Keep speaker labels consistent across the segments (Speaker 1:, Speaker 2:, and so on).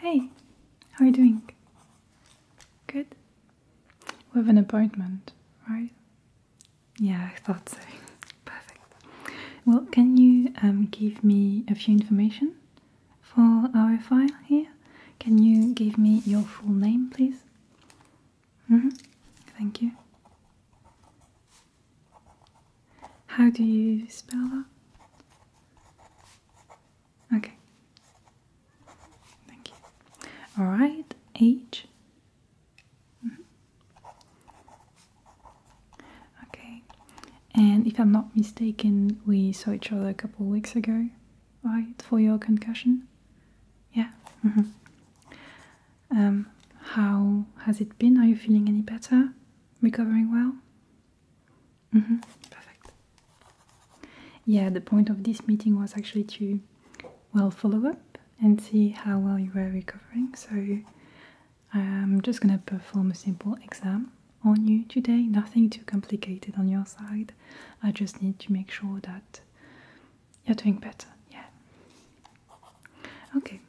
Speaker 1: Hey, how are you doing? Good? We have an appointment, right? Yeah, I thought so. Perfect. Well, can you um, give me a few information for our file here, can you give me your full name, please? Mm -hmm. Thank you. How do you spell that? Okay. Thank you. All right. Age. Okay, and if I'm not mistaken, we saw each other a couple weeks ago, right? For your concussion? Yeah. Mm-hmm. um, how has it been? Are you feeling any better? Recovering well? -hmm. Perfect. Yeah, the point of this meeting was actually to, well, follow up and see how well you were recovering. So I'm just gonna perform a simple exam on you today, nothing too complicated on your side. I just need to make sure that you're doing better. Yeah. Okay.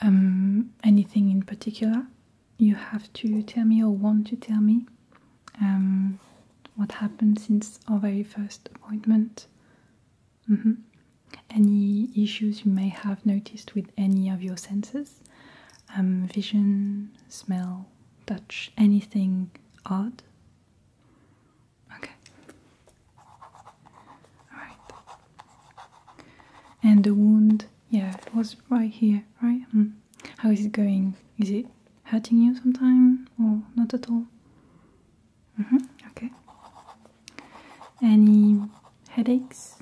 Speaker 1: Um, anything in particular you have to tell me or want to tell me? Um, what happened since our very first appointment? Mm-hmm any issues you may have noticed with any of your senses um, vision, smell, touch, anything odd. Okay. Alright. And the wound, yeah, it was right here, right? Hmm. How is it going? Is it hurting you sometimes, or not at all? Mm -hmm. Okay any headaches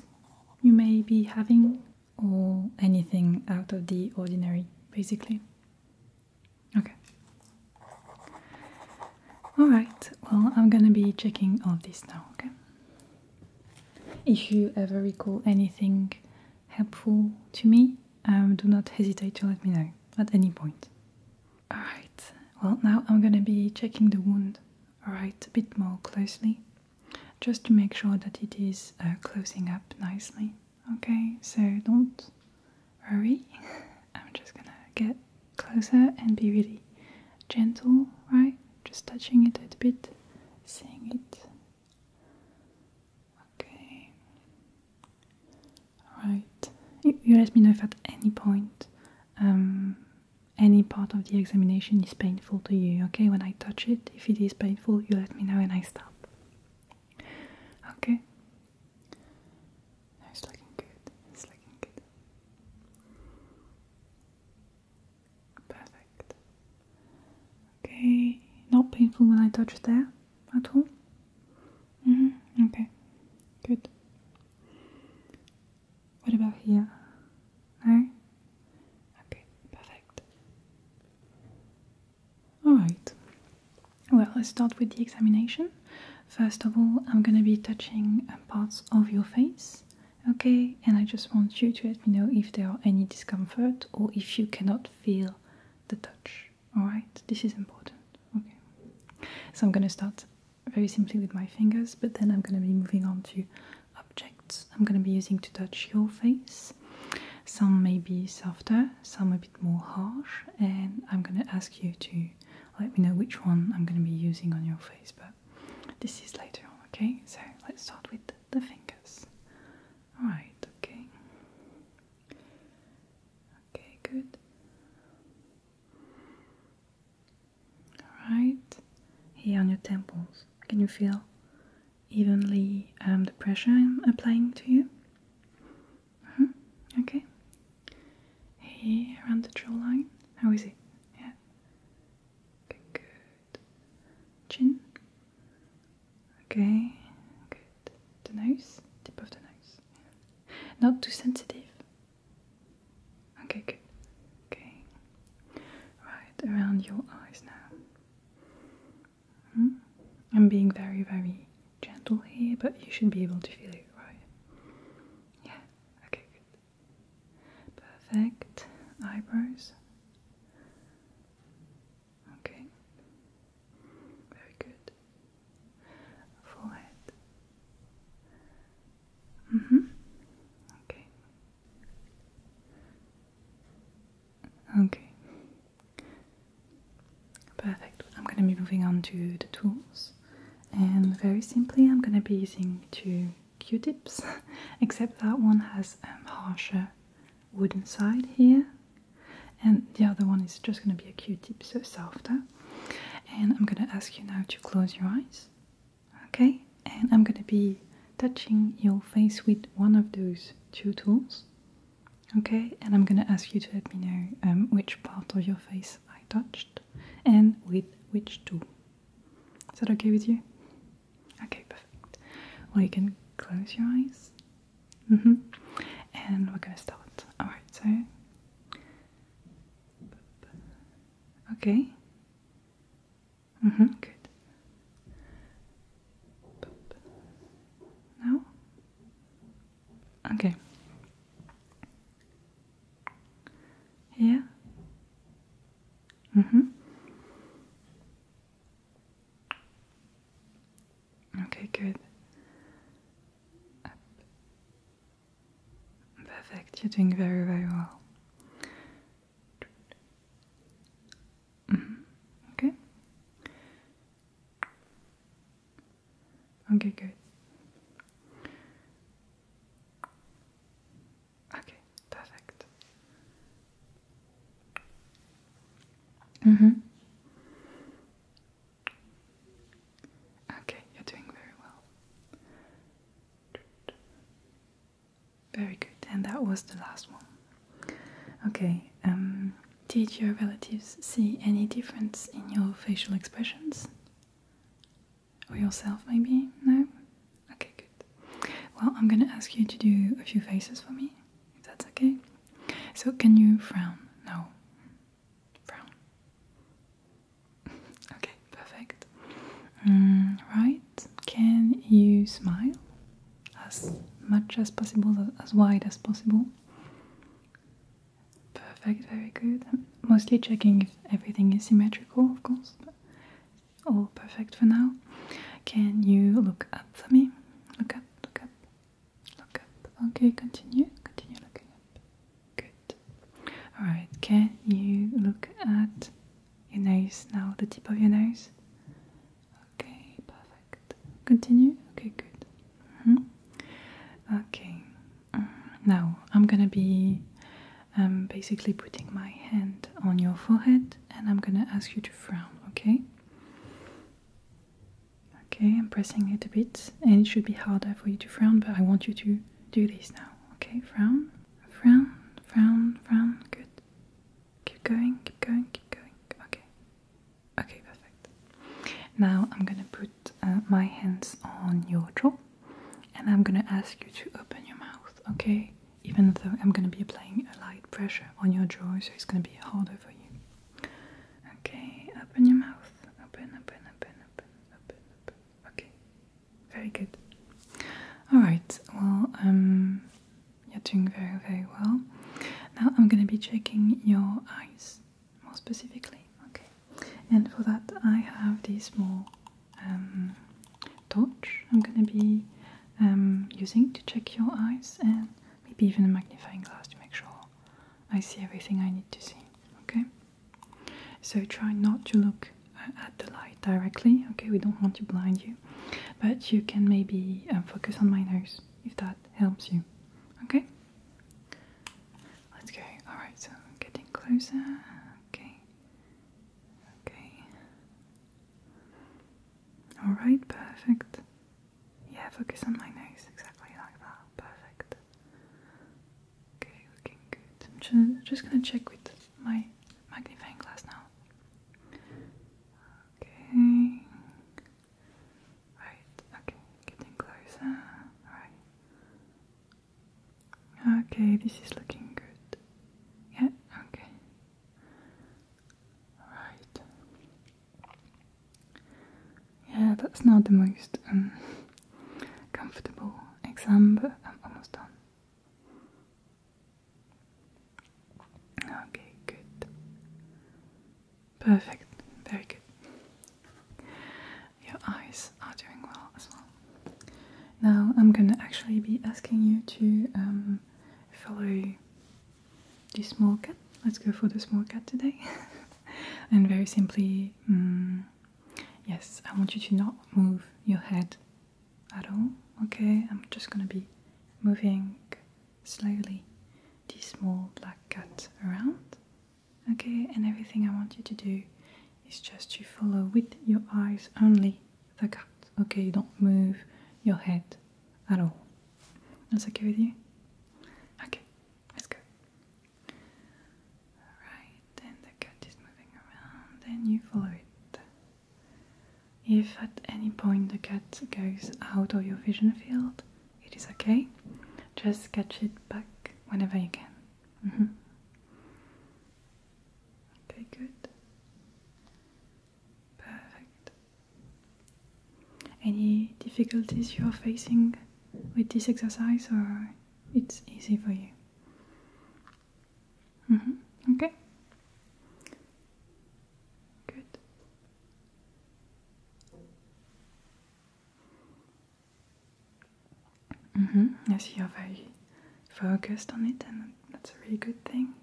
Speaker 1: you may be having, or anything out of the ordinary, basically. Okay. Alright, well, I'm gonna be checking all this now, okay? If you ever recall anything helpful to me, um, do not hesitate to let me know at any point. Alright, well, now I'm gonna be checking the wound, alright, a bit more closely just to make sure that it is uh, closing up nicely. Okay, so don't worry. I'm just gonna get closer and be really gentle, right? Just touching it a little bit, seeing it. Okay. Alright. You, let me know if at any point um, any part of the examination is painful to you, okay? When I touch it, if it is painful, you let me know and I stop. Okay? it's looking good. It's looking good. Perfect. Okay, not painful when I touch there at all? -hmm. Okay, good. What about here? No? Okay, perfect. Alright, well, let's start with the examination. First of all, I'm gonna be touching parts of your face, okay? And I just want you to let me know if there are any discomfort or if you cannot feel the touch, alright? This is important, okay? So I'm gonna start very simply with my fingers, but then I'm going to be moving on to objects. I'm going to be using to touch your face. Some may be softer, some a bit more harsh, and I'm going to ask you to let me know which one I'm going to be using on your face, but this is later on, okay? So let's start with the fingers. Alright, okay. Okay, good. Alright, here on your temples. Can you feel evenly um, the pressure I'm applying to you? Mm-hmm. Okay. Here around the jawline. How is it? Yeah. good. Chin. Okay, good. The nose, tip of the nose. Not too sensitive. Okay, good. Okay. Right around your eyes now. Hmm? I'm being very, very gentle here, but you should be able to feel it, right? Yeah, okay, good. Perfect. Eyebrows. Okay. Very good. Forehead. Mm-hmm. Okay. Okay. Perfect. I'm going to be moving on to the tools, and very simply, I'm going to be using two Q-tips, except that one has a um, harsher wooden side here, and the other one is just going to be a Q-tip, so softer. And I'm going to ask you now to close your eyes. Okay, and I'm gonna be touching your face with one of those two tools. Okay, and I'm gonna ask you to let me know um, which part of your face I touched and with which tool. Is that okay with you? Okay, perfect. Well, you can close your eyes. Mm-hmm. And we're gonna start. Alright, so. Okay. Mm-hmm, good. Now? Okay. Here? Mm-hmm. Okay, good. Perfect, you're doing very, very well. Mm -hmm. Okay. Okay, good. Okay, perfect. Mm hmm. Okay, you're doing very well. Very good, and that was the last one. Okay, um, did your relatives see any difference in your facial expressions? Or yourself, maybe? No? Okay, good. Well, I'm gonna ask you to do a few faces for me, if that's okay. So, can you frown? No brown. okay, perfect. Mm, right, can you smile as much as possible, as wide as possible? Perfect, very good. mostly checking if everything is symmetrical, of course. all perfect for now. Can you look up for me? Look up, look up, look up. Okay, continue, continue looking up. Good. Alright, can you look at your nose now, the tip of your nose? Okay, perfect. Continue? Okay, good. -hmm. Okay, mm, now I'm gonna be um, basically putting my hand on your forehead and I'm gonna ask you to frown, okay? Okay, I'm pressing it a bit and it should be harder for you to frown, but I want you to do these now. Okay, frown, frown, frown, frown. Good. Keep going, keep going, keep going. Okay. Okay, perfect. Now I'm gonna put uh, my hands on your jaw and I'm gonna ask you to open your mouth, okay? Even though I'm gonna be applying a light pressure on your jaw, so it's gonna be harder for you. Okay, open your mouth. Open, open, open, open, open, open, Okay, very good. All right. Well, um, you're doing very, very well. Now I'm going to be checking your eyes more specifically. Okay, and for that I have this small um, torch. I'm going to be um, using to check your eyes and maybe even a magnifying glass to make sure I see everything I need to see. Okay. So try not to look uh, at the light directly, okay? We don't want to blind you, but you can maybe um, focus on my nose if that helps you, okay? Let's go. Alright, so getting closer. Okay. Okay. Alright, perfect. Yeah, focus on my nose, exactly like that. Perfect. Okay, looking good. I'm just gonna check with my magnifying glass now. Okay. Right, okay, getting closer. Alright. Okay, this is looking good. Yeah, okay. Alright. Yeah, that's not the most um, comfortable exam, but I'm almost done. Okay, good. Perfect. Very good. Your eyes are doing well as well. Now I'm gonna actually be asking you to um, follow the small cat. Let's go for the small cat today. and very simply mm, Yes, I want you to not move your head at all. Okay, I'm just gonna be moving slowly the small black cat around. Okay, and everything I want you to do is just to follow with your eyes only the cat. Okay, you don't move your head at all. That's okay with you? Okay, let's go. Alright, and the cat is moving around and you follow it. If at any point the cat goes out of your vision field, it is okay. Just catch it back whenever you can. Mm-hmm. Okay, good. Perfect. Any difficulties you are facing with this exercise, or it's easy for you. Mm-hmm. Okay. Good. -hmm. Yes, you're very focused on it, and that's a really good thing.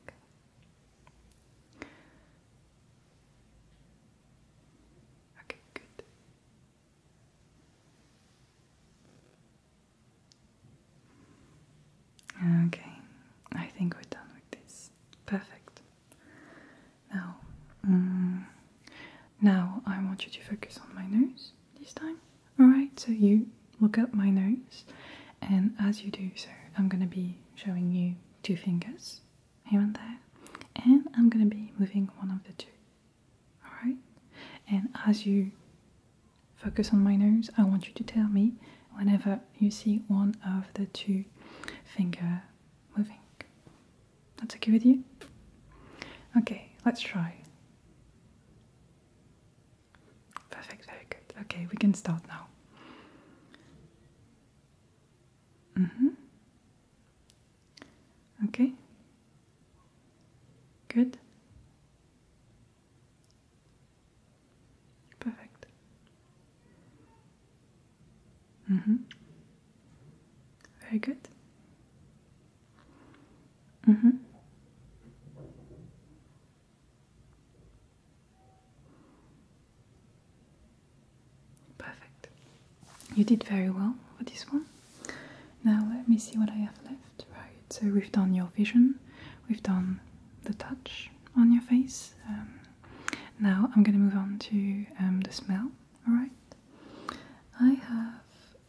Speaker 1: Okay, good. Okay, I think we're done with this. Perfect. Now, mm, now I want you to focus on my nose this time. All right, so you look up my nose, and as you do so, I'm gonna be showing you two fingers here and there, and I'm gonna be moving one of the two. Alright? And as you focus on my nose, I want you to tell me whenever you see one of the two finger moving. That's okay with you? Okay, let's try. Perfect, very good. Okay, we can start now. Mm-hmm. Okay? Good? Perfect. Mm-hmm. Very good. Mm-hmm. Perfect. You did very well for this one. Now let me see what I have left. Right, so we've done your vision, we've done the touch on your face. Um, now I'm going to move on to um, the smell. All right. I have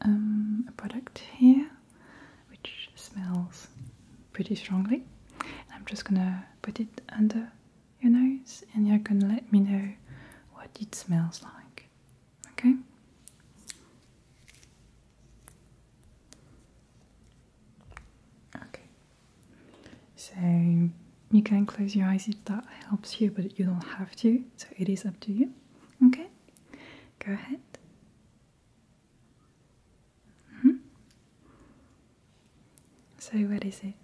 Speaker 1: um, a product here which smells pretty strongly. I'm just going to put it under your nose and you're gonna let me know what it smells like. Okay? Okay. So you can close your eyes if that helps you, but you don't have to, so it is up to you. Okay? Go ahead. -hmm. So, what is it?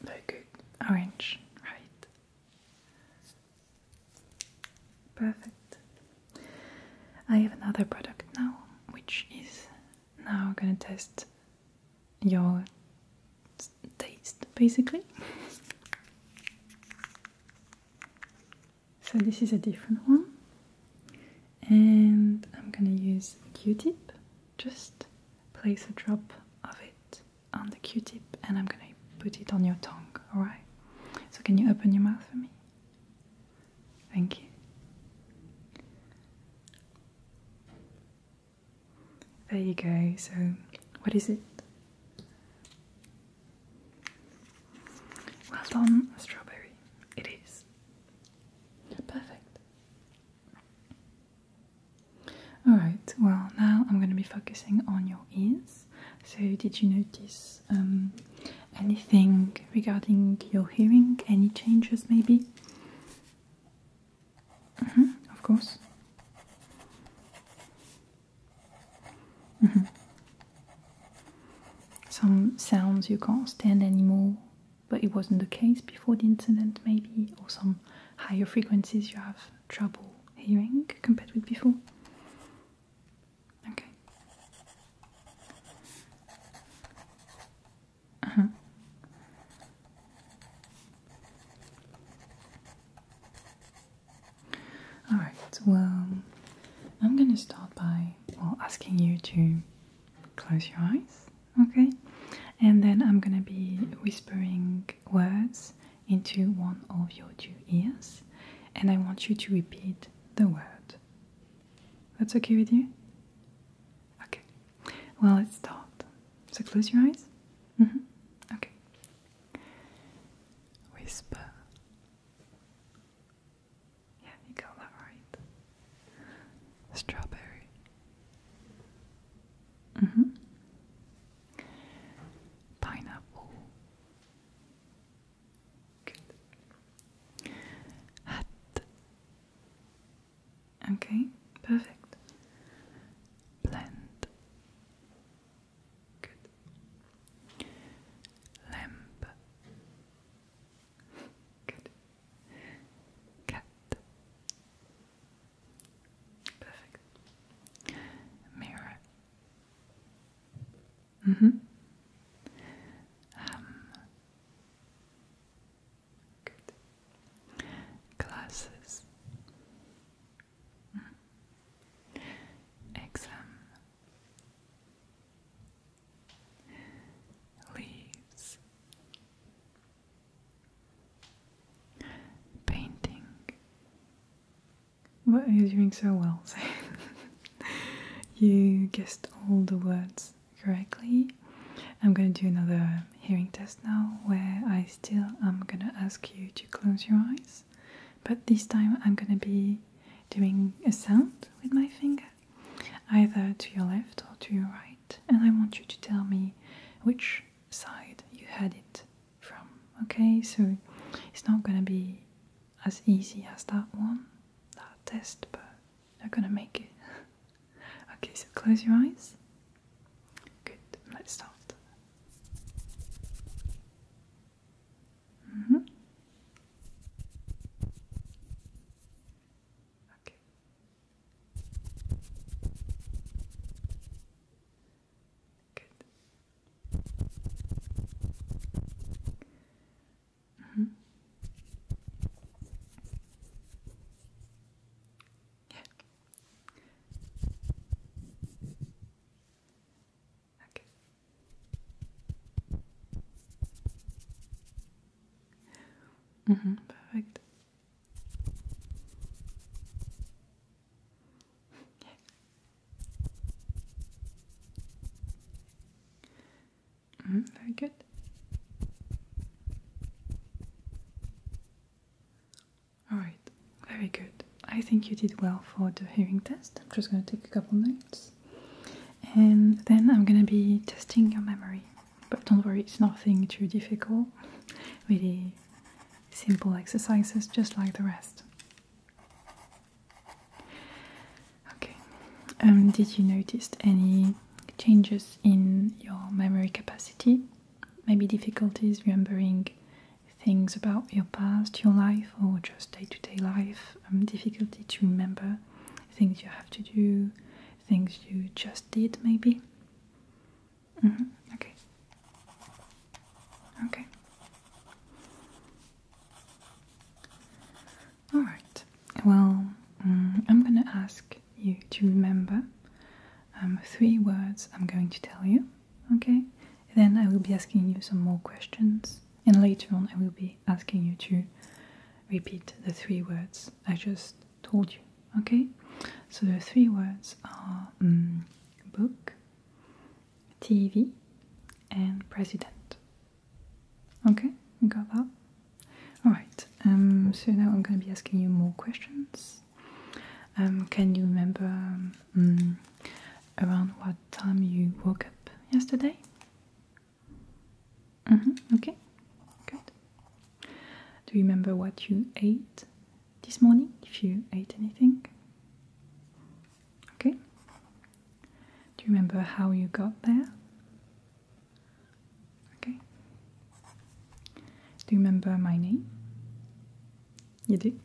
Speaker 1: Very good. Orange, right. Perfect. I have another product now, which is now gonna test your taste basically. so, this is a different one, and I'm gonna use Q tip just place a drop of it on the q-tip and I'm gonna put it on your tongue, alright? So can you open your mouth for me? Thank you. There you go. So, what is it? Well done, strawberry. It is. Perfect. Alright, well, now I'm going to be focusing on your ears. So, did you notice um, anything regarding your hearing? Any changes, maybe? Mm-hmm, of course. Mm-hmm. Some sounds you can't stand anymore, but it wasn't the case before the incident, maybe, or some higher frequencies you have trouble hearing compared with before. Okay. Uh huh. Alright, well, I'm gonna start by well, asking you to close your eyes okay and then i'm gonna be whispering words into one of your two ears and i want you to repeat the word that's okay with you okay well let's start so close your eyes mm-hmm. okay whisper yeah, you got that right. Strawberry. Mm hmm. Pineapple. Good. Hat. Okay, perfect. Blend. Good. Lamp. Good. Cat. Perfect. Mirror. Mm hmm. good. Glasses. Mm. Exam. Leaves. Painting. What are doing so well? you guessed all the words correctly. I'm gonna do another hearing test now where I still am gonna ask you to close your eyes, but this time I'm gonna be doing a sound with my finger either to your left or to your right, and I want you to tell me which side you had it from. Okay, so it's not gonna be as easy as that one, that test, but they're gonna make it. okay, so close your eyes. Good, let's start. Mm-hmm. Okay. Good. Mm -hmm. Yeah. Okay. Mm -hmm, perfect. Yeah. Mm very good. Alright, very good. I think you did well for the hearing test. I'm just going to take a couple notes and then I'm going to be testing your memory. But don't worry, it's nothing too difficult. Really simple exercises, just like the rest. Okay, um, did you notice any changes in your memory capacity? Maybe difficulties remembering things about your past, your life, or just day to day life? Um, difficulty to remember things you have to do, things you just did, maybe? Mm-hmm. Okay. Okay. Alright, well, mm, I'm gonna ask you to remember um, three words I'm going to tell you, okay? Then I will be asking you some more questions, and later on, I will be asking you to repeat the three words I just told you. Okay, so the three words are mm, book, TV, and president. Okay, you got that? Alright, um, so now I'm going to be asking you more questions. Um, can you remember mm, around what time you woke up yesterday? Mm-hmm, okay, good. Do you remember what you ate this morning? If you ate anything? Okay. Do you remember how you got there? Okay. Do you remember my name? You do?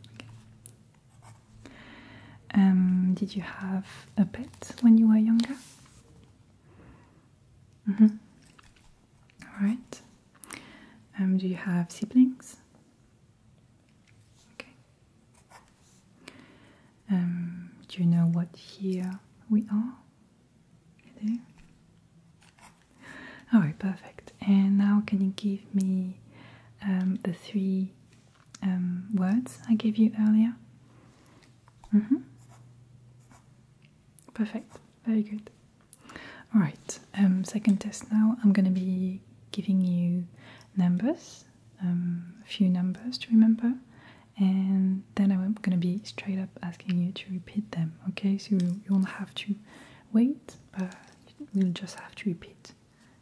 Speaker 1: Um, did you have a pet when you were younger? Mm -hmm. All right. Um, do you have siblings? Okay. Um, do you know what year we are? There. All right, perfect. And now, can you give me um, the three um, words I gave you earlier? Mm-hmm. Perfect, very good. Alright, um, second test now. I'm going to be giving you numbers, um, a few numbers to remember, and then I'm going to be straight up asking you to repeat them, okay? So you won't have to wait, but you'll just have to repeat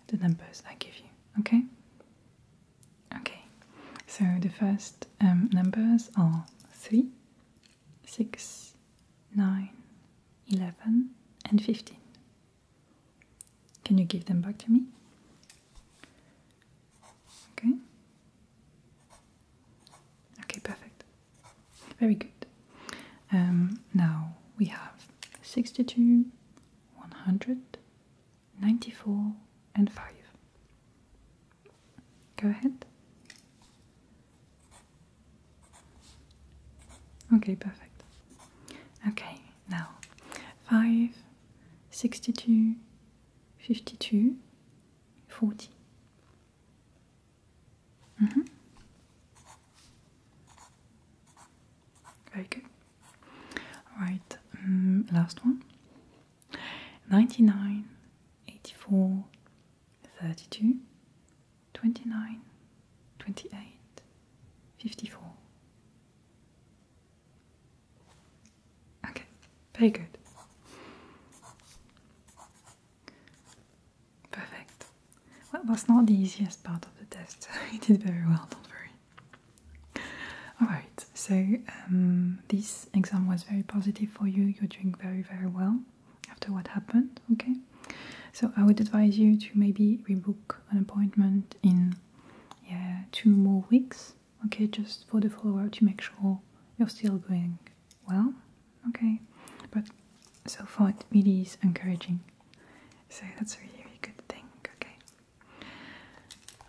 Speaker 1: the numbers I give you, okay? Okay, so the first um, numbers are 3, 6, 9, 11, and 15. Can you give them back to me? Okay. Okay, perfect. Very good. Um, now we have 62, 100, 94 and 5. Go ahead. Okay, perfect. Okay, now 5, 62, 52, 40. Mm-hmm. Mm Alright, last one. 99, 84, 32, 29, 28, 54. Okay, very good. Perfect. Well, that was not the easiest part of the test. you did very well, don't worry. Alright, so um, this exam was very positive for you. You're doing very, very well after what happened, okay? So I would advise you to maybe rebook an appointment in yeah, two more weeks, okay? Just for the follow up to make sure you're still going well, okay? But so far, it really is encouraging. So that's a really good thing, okay?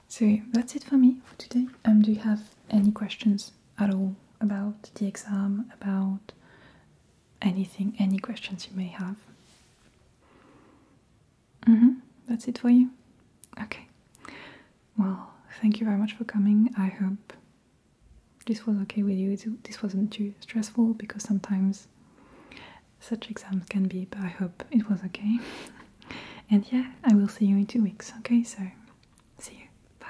Speaker 1: So that's it for me for today. Um, do you have any questions at all about the exam, about anything, any questions you may have? Mm-hmm. That's it for you? Okay. Well, thank you very much for coming. I hope this was okay with you. This wasn't too stressful because sometimes such exams can be, but I hope it was okay. And yeah, I will see you in two weeks, okay? So, see you. Bye.